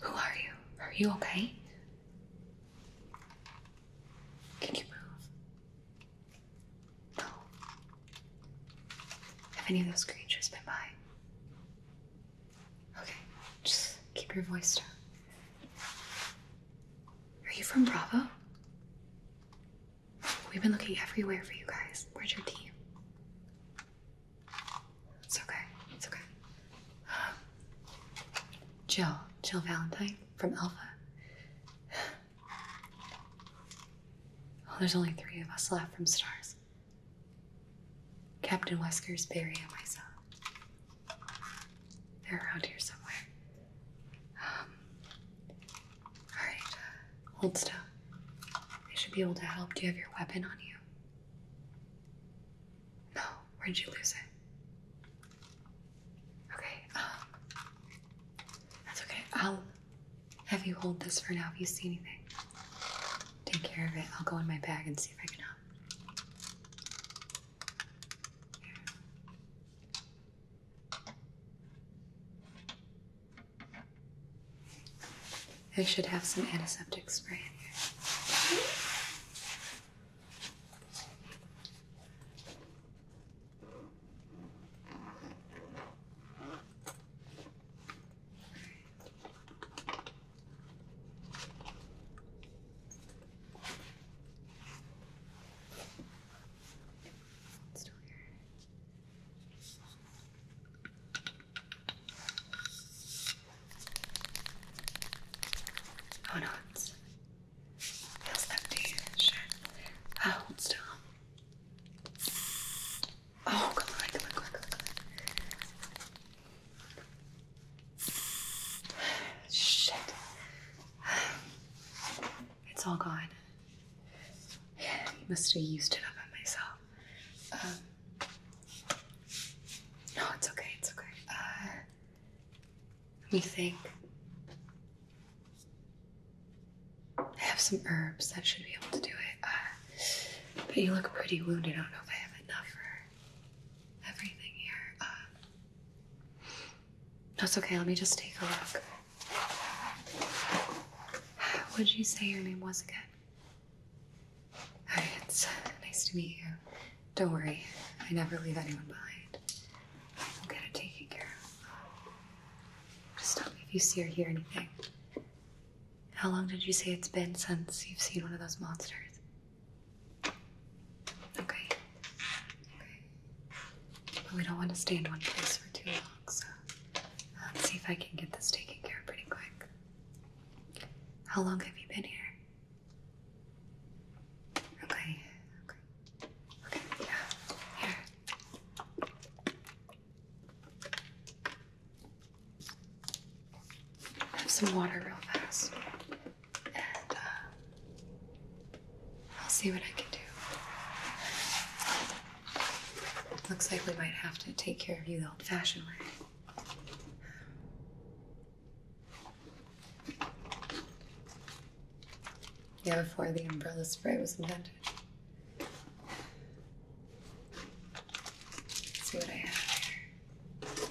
Who are you? Are you okay? Can you move? No. Have any of those creatures been by? Okay, just keep your voice down. Are you from Bravo? We've been looking everywhere for you guys. Where's your team? It's okay. It's okay. Jill, Jill Valentine from Alpha. Oh, there's only three of us left from Stars. Captain Wesker's Barry and myself. They're around here somewhere. Um, all right, hold still. They should be able to help. Do you have your weapon on you? No, where'd you lose it? Okay, um, that's okay. I'll have you hold this for now if you see anything. Take care of it. I'll go in my bag and see if I can help. I should have some antiseptic spray here. Still here. Oh no, feels empty. Sure. Uh, hold Oh, come on, come on, come on, come Shit. It's all gone. you must have used it up on myself. Um, no, it's okay. It's okay. Uh, let me think. I have some herbs that should be able to do it. Uh, but you look pretty wounded. I don't know if I have enough for everything here. Uh, okay. Let me just take a look. What did you say your name was again? It's nice to meet you. Don't worry, I never leave anyone behind. I'll get it taken care of. Just stop me if you see or hear anything. How long did you say it's been since you've seen one of those monsters? Okay. Okay. But we don't want to stay in one place for too long, so let's see if I can get this taken care of pretty quick. How long have you been here? Okay, okay, okay, yeah, here. Have some water real fast, and uh, I'll see what I can do. Looks like we might have to take care of you the old-fashioned way. Yeah, before the umbrella spray was invented. see what I have here.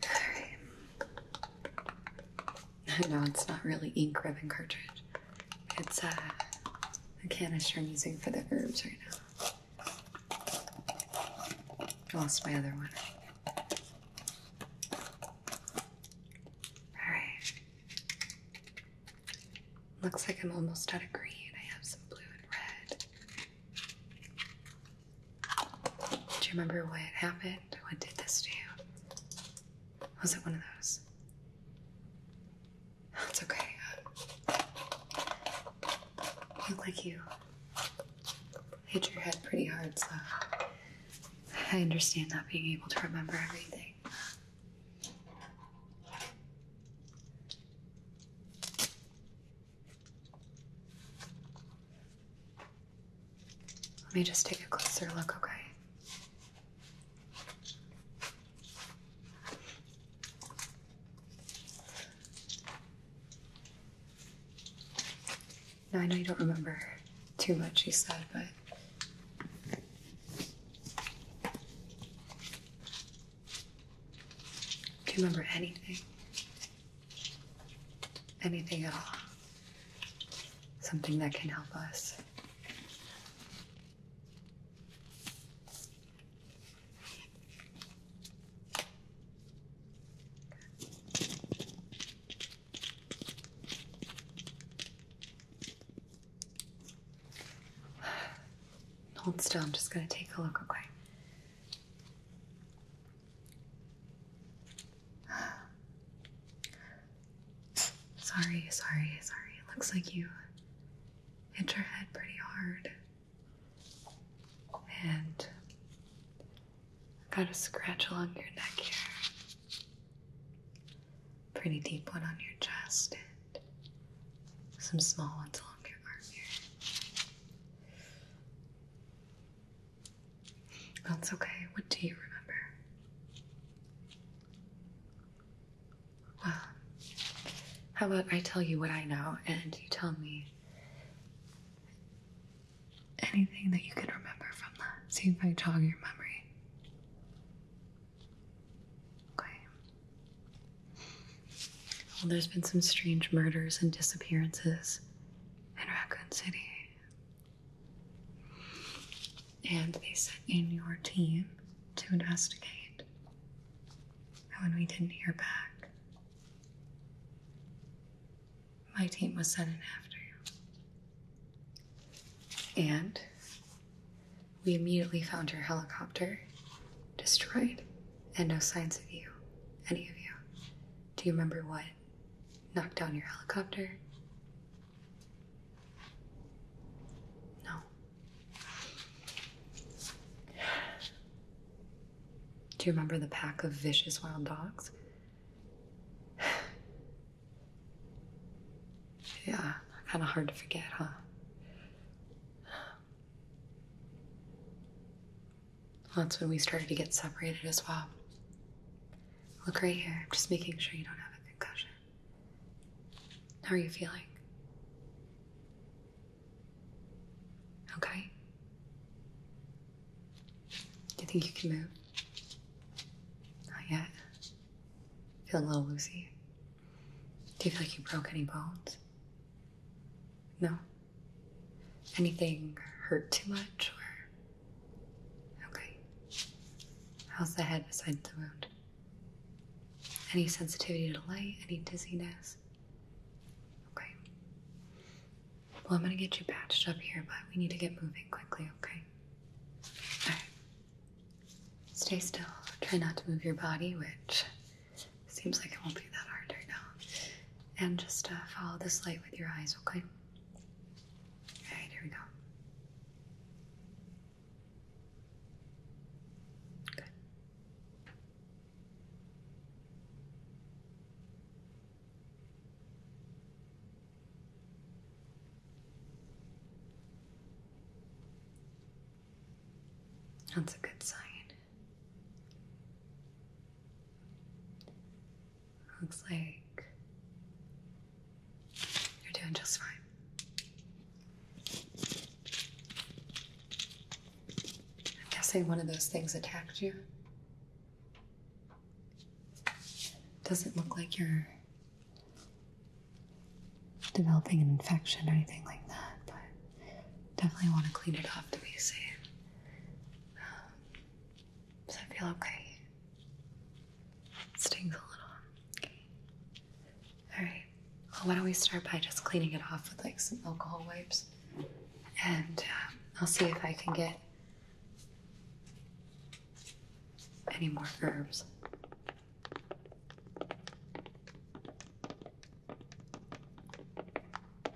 Alright. No, it's not really ink ribbon cartridge. It's uh, a canister I'm using for the herbs right now. Lost my other one. Alright. Looks like I'm almost out of green. I have some blue and red. Do you remember what happened? What did this do? Was it one of those? That's oh, okay. You uh, look like you hit your head pretty hard, so I understand not being able to remember everything. Let me just take a closer look, okay? Now, I know you don't remember too much you said, but. Do you remember anything? anything at all. Something that can help us. Hold still, I'm just going to take a look, okay? Sorry, sorry, sorry. It looks like you hit your head pretty hard. And got a scratch along your neck here. Pretty deep one on your chest and some small ones along your arm here. That's okay. What do you remember? Well, how about I tell you what I know and you tell me anything that you can remember from that? See if I jog your memory. Okay. Well, there's been some strange murders and disappearances in Raccoon City. And they sent in your team to investigate. And when we didn't hear back, my team was sent in after you. And we immediately found your helicopter destroyed and no signs of you, any of you. Do you remember what knock down your helicopter? No. Do you remember the pack of vicious wild dogs? Yeah, kind of hard to forget, huh? That's when we started to get separated as well. Look right here. I'm just making sure you don't have a concussion. How are you feeling? Okay. Do you think you can move? Not yet. Feeling a little loosey. Do you feel like you broke any bones? No. Anything hurt too much or. Okay. How's the head besides the wound? Any sensitivity to light? Any dizziness? Okay. Well, I'm gonna get you patched up here, but we need to get moving quickly, okay? Alright. Stay still. Try not to move your body, which seems like it won't be that hard right now. And just uh, follow this light with your eyes, okay? All right, here we go. Good. That's a good sign. Looks like you're doing just fine. I'm guessing one of those things attacked you. Doesn't look like you're developing an infection or anything like that, but Definitely want to clean it off to be safe. Um, does that feel okay? It stings a little. Okay. Alright. Well, why don't we start by just cleaning it off with like some alcohol wipes? And um, I'll see if I can get any more herbs.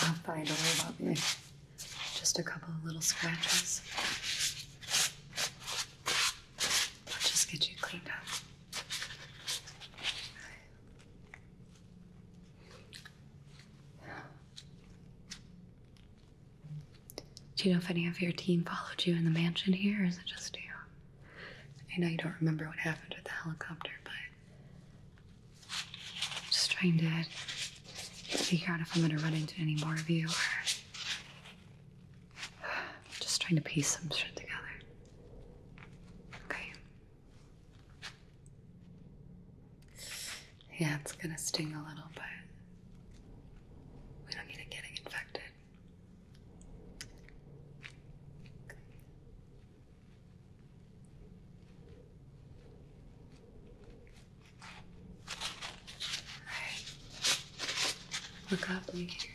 Not fine, don't worry Just a couple of little scratches. I'll just get you cleaned up. Do you know if any of your team followed you in the mansion here, or is it just you? I know you don't remember what happened with the helicopter, but I'm just trying to figure out if I'm going to run into any more of you just trying to piece some shit together. Okay. Yeah, it's gonna sting a little, but we don't need it getting infected. Okay. All right. Look up, look at your here.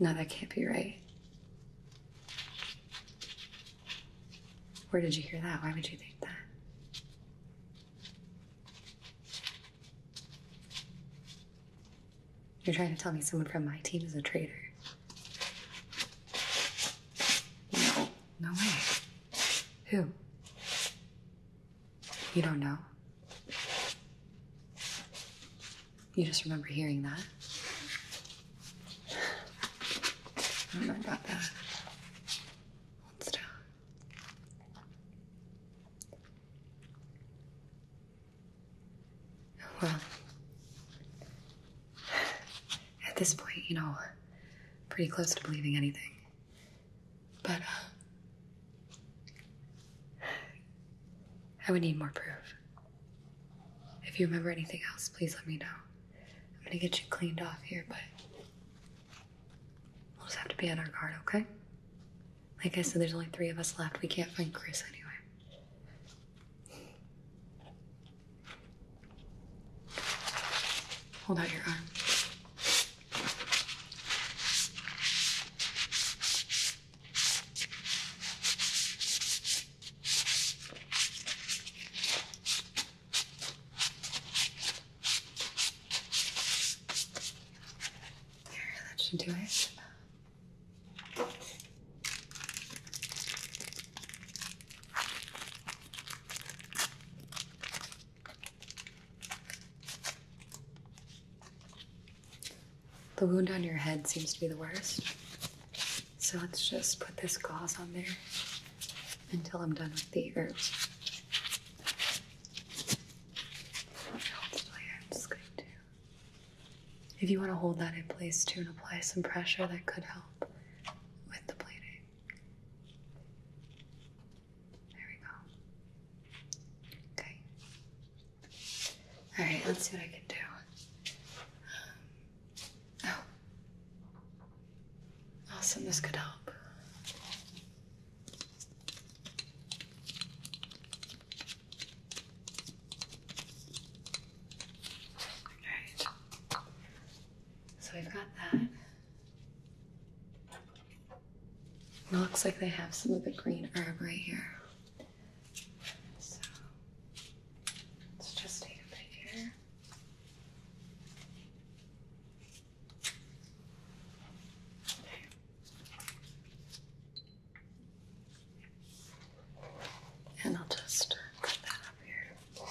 No, that can't be right. Where did you hear that? Why would you think that? You're trying to tell me someone from my team is a traitor. No way. Who? You don't know? You just remember hearing that? I don't know about that. Hold still. Well, at this point, you know, pretty close to believing anything. But uh, I would need more proof. If you remember anything else, please let me know. I'm gonna get you cleaned off here, but we'll just have to be on our guard, okay? Like I said, there's only three of us left. We can't find Chris anyway. Hold out your arm. There, that should do it. The wound on your head seems to be the worst. So let's just put this gauze on there until I'm done with the herbs. If you want to hold that in place too and apply some pressure, that could help with the pleating. There we go. Okay. Alright, let's see what I can do. Um, oh. Awesome, this could help. Alright. So we've got that. It looks like they have some of the green herb right here. So let's just take a picture. Okay. And I'll just put that up here.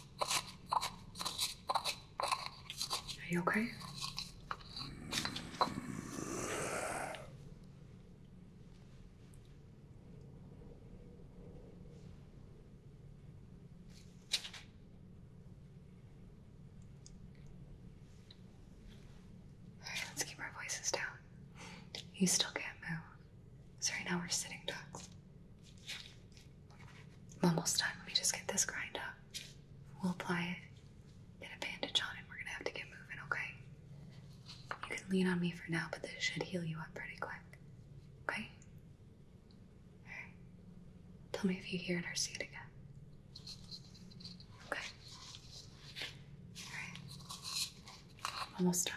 Are you okay? All right, let's keep our voices down. You still can't move. So right now we're sitting ducks. I'm almost done. Let me just get this grind up. We'll apply it, get a bandage on, and we're gonna have to get moving, okay? You can lean on me for now, but this should heal you up pretty quick. Okay? Alright. Tell me if you hear it or see it again. Okay. Alright. Almost done.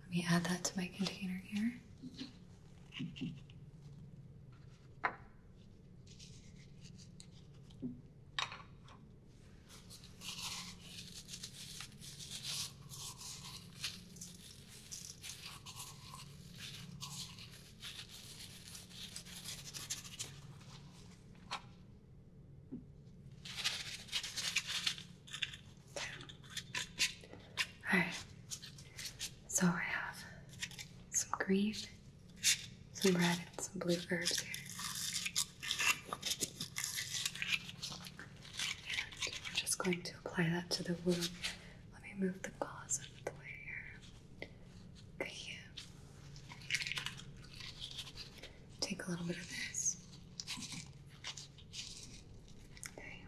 Let me add that to my container here. All right. So I have some green, some red, and some blue herbs here. I'm just going to apply that to the wound. Let me move the gauze out of the way here. Okay. Take a little bit of this. Okay.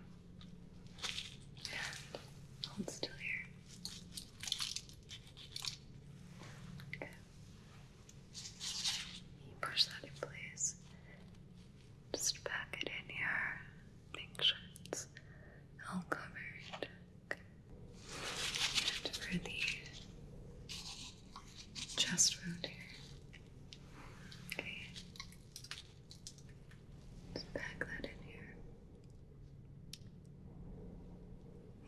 And hold still here. Okay. Push that in place. Just pack it in here. Make sure all covered. And for the chest wound here. Okay. Just pack that in here.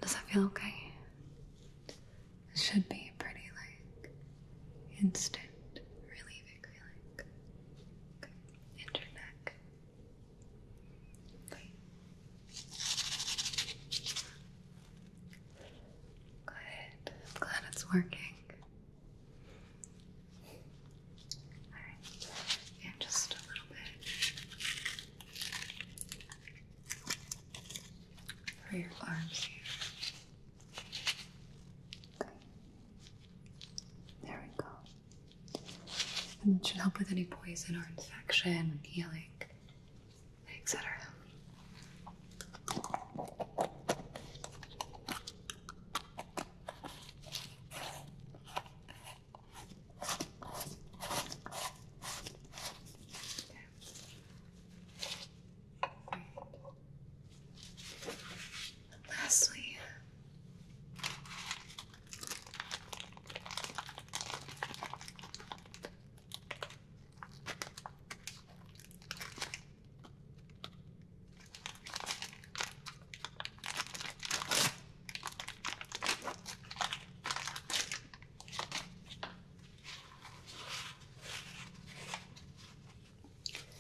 Does that feel okay? should be pretty like instant relieving feeling. Okay. And your neck. Okay. Good. I'm glad it's working. Alright. And just a little bit for your arms here. There we go. And that should help with any poison or infection, healing, etc. Okay. Right. Lastly,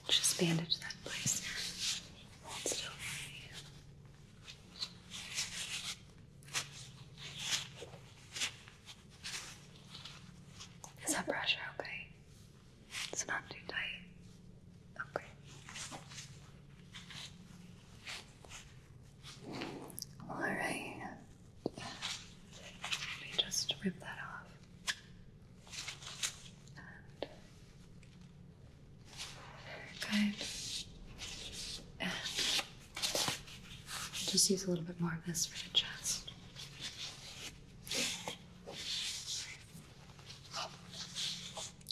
just bandage that place. Hold still Is that pressure okay? It's not too tight. Okay. All right. Let me just rip that off. And And just use a little bit more of this for the chest.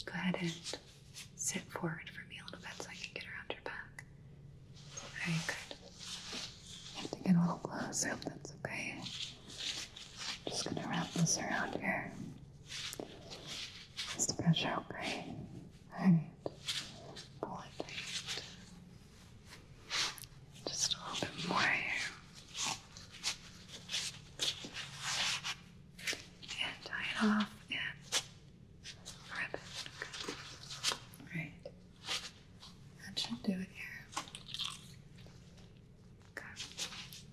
Go ahead and sit forward for me a little bit so I can get around your back. Very good. have to get a little closer if that's okay. I'm just gonna wrap this around here. Just to pressure, Pull it tight. Just a little bit more here. And tie it off and rip it. Okay. That should do it here.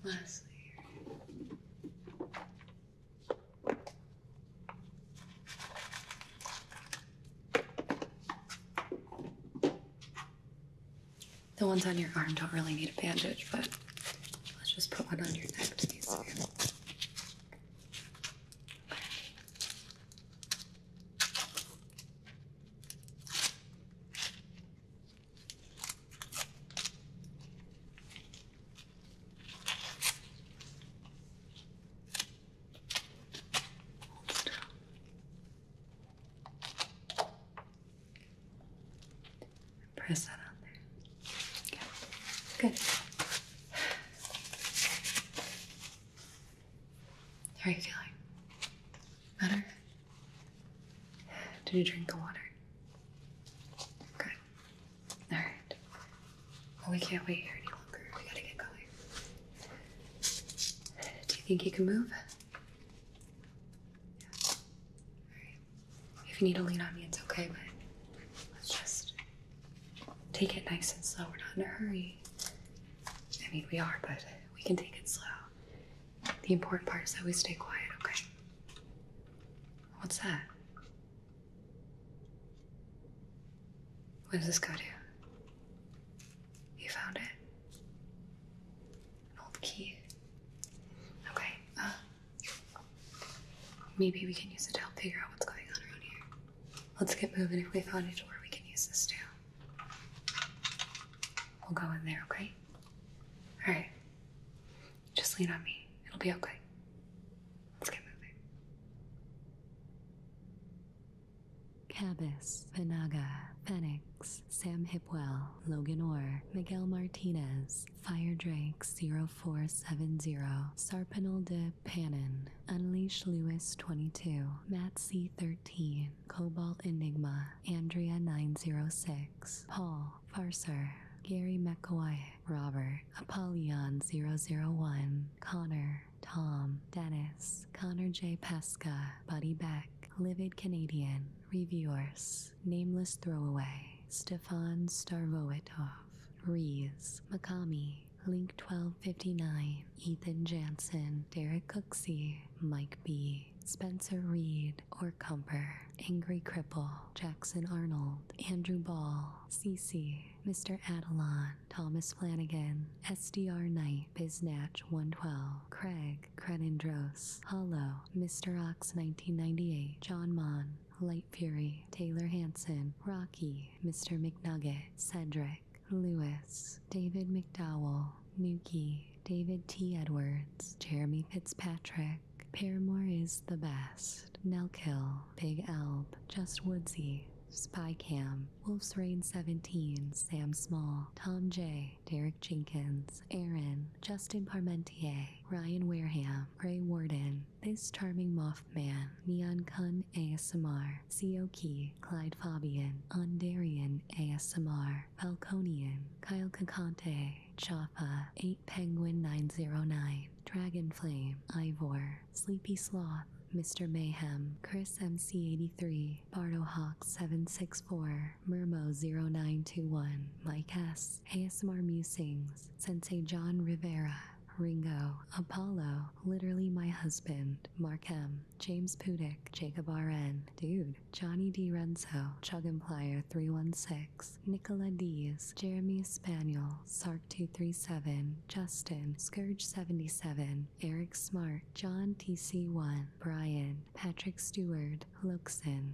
Lastly The ones on your arm don't really need a bandage, but let's just put one on your neck to Press that on there. Good. How are you feeling? Better? Did you drink the water? Good. Alright. Well, we can't wait here any longer. We gotta get going. Do you think you can move? Yeah. Alright. If you need to lean on me, it's okay, but let's just take it nice and slow. We're not in a hurry. I mean, we are, but we can take it slow. The important part is that we stay quiet, okay? What's that? What does this go to? You found it? An old key. Okay, uh, maybe we can use it to help figure out what's going on around here. Let's get moving if we find a door we can use this too. We'll go in there, okay? Alright. Just lean on me. It'll be okay. Let's get moving. Cabas, Panaga, Fenix, Sam Hipwell, Logan Orr, Miguel Martinez, Fire Drake 0470, Sarpanel de Philip Pannon, Unleash Lewis 22, Matt C13, Cobalt Enigma, Andrea 906, Paul, Farser, Gary McCoy, Robert, Apollyon 001, Connor, Tom, Dennis, Connor J. Pasca, Buddy Beck, Livid Canadian, Reviewers, Nameless Throwaway, Stefan Starvoitov, Rees, Makami, Link 1259, Ethan Jansen, Derek Cooksey, Mike B, Spencer Reed, or Cumper, Angry Cripple, Jackson Arnold, Andrew Ball, CC, Mr. Adelon, Thomas Flanagan, SDR Knight, Biznatch 112, Craig, Crenindros, Hollow, Mr. Ox 1998, John Mon, Light Fury, Taylor Hanson, Rocky, Mr. McNugget, Cedric, Lewis, David McDowell, Nuki, David T. Edwards, Jeremy Fitzpatrick, Paramore is the best, Nelkill, Big Elb, Just Woodsy, Spy Cam, Wolf's Rain 17, Sam Small, Tom J, Derek Jenkins, Aaron, Justin Parmentier, Ryan Wareham, Ray Warden, this charming Mothman, Neon Kun ASMR, Seoki, Clyde Fabian, Ondarian ASMR, Falconian, Kyle Cacante, Chapa, 8 Penguin 909, Dragon Flame, Ivor, Sleepy Sloth, Mr. Mayhem, Chris MC83, Hawks 764 Murmo0921, Mike S, ASMR Musings, Sensei John Rivera, Ringo, Apollo, literally my husband, Markham, James Pudick, Jacob RN, Dude, Johnny D. Renzo, Chug and Plier 316, Nicola Diaz, Jeremy Spaniel, Sark237, Justin, Scourge77, Eric Smart, John TC1, Brian, Patrick Stewart, Luxon.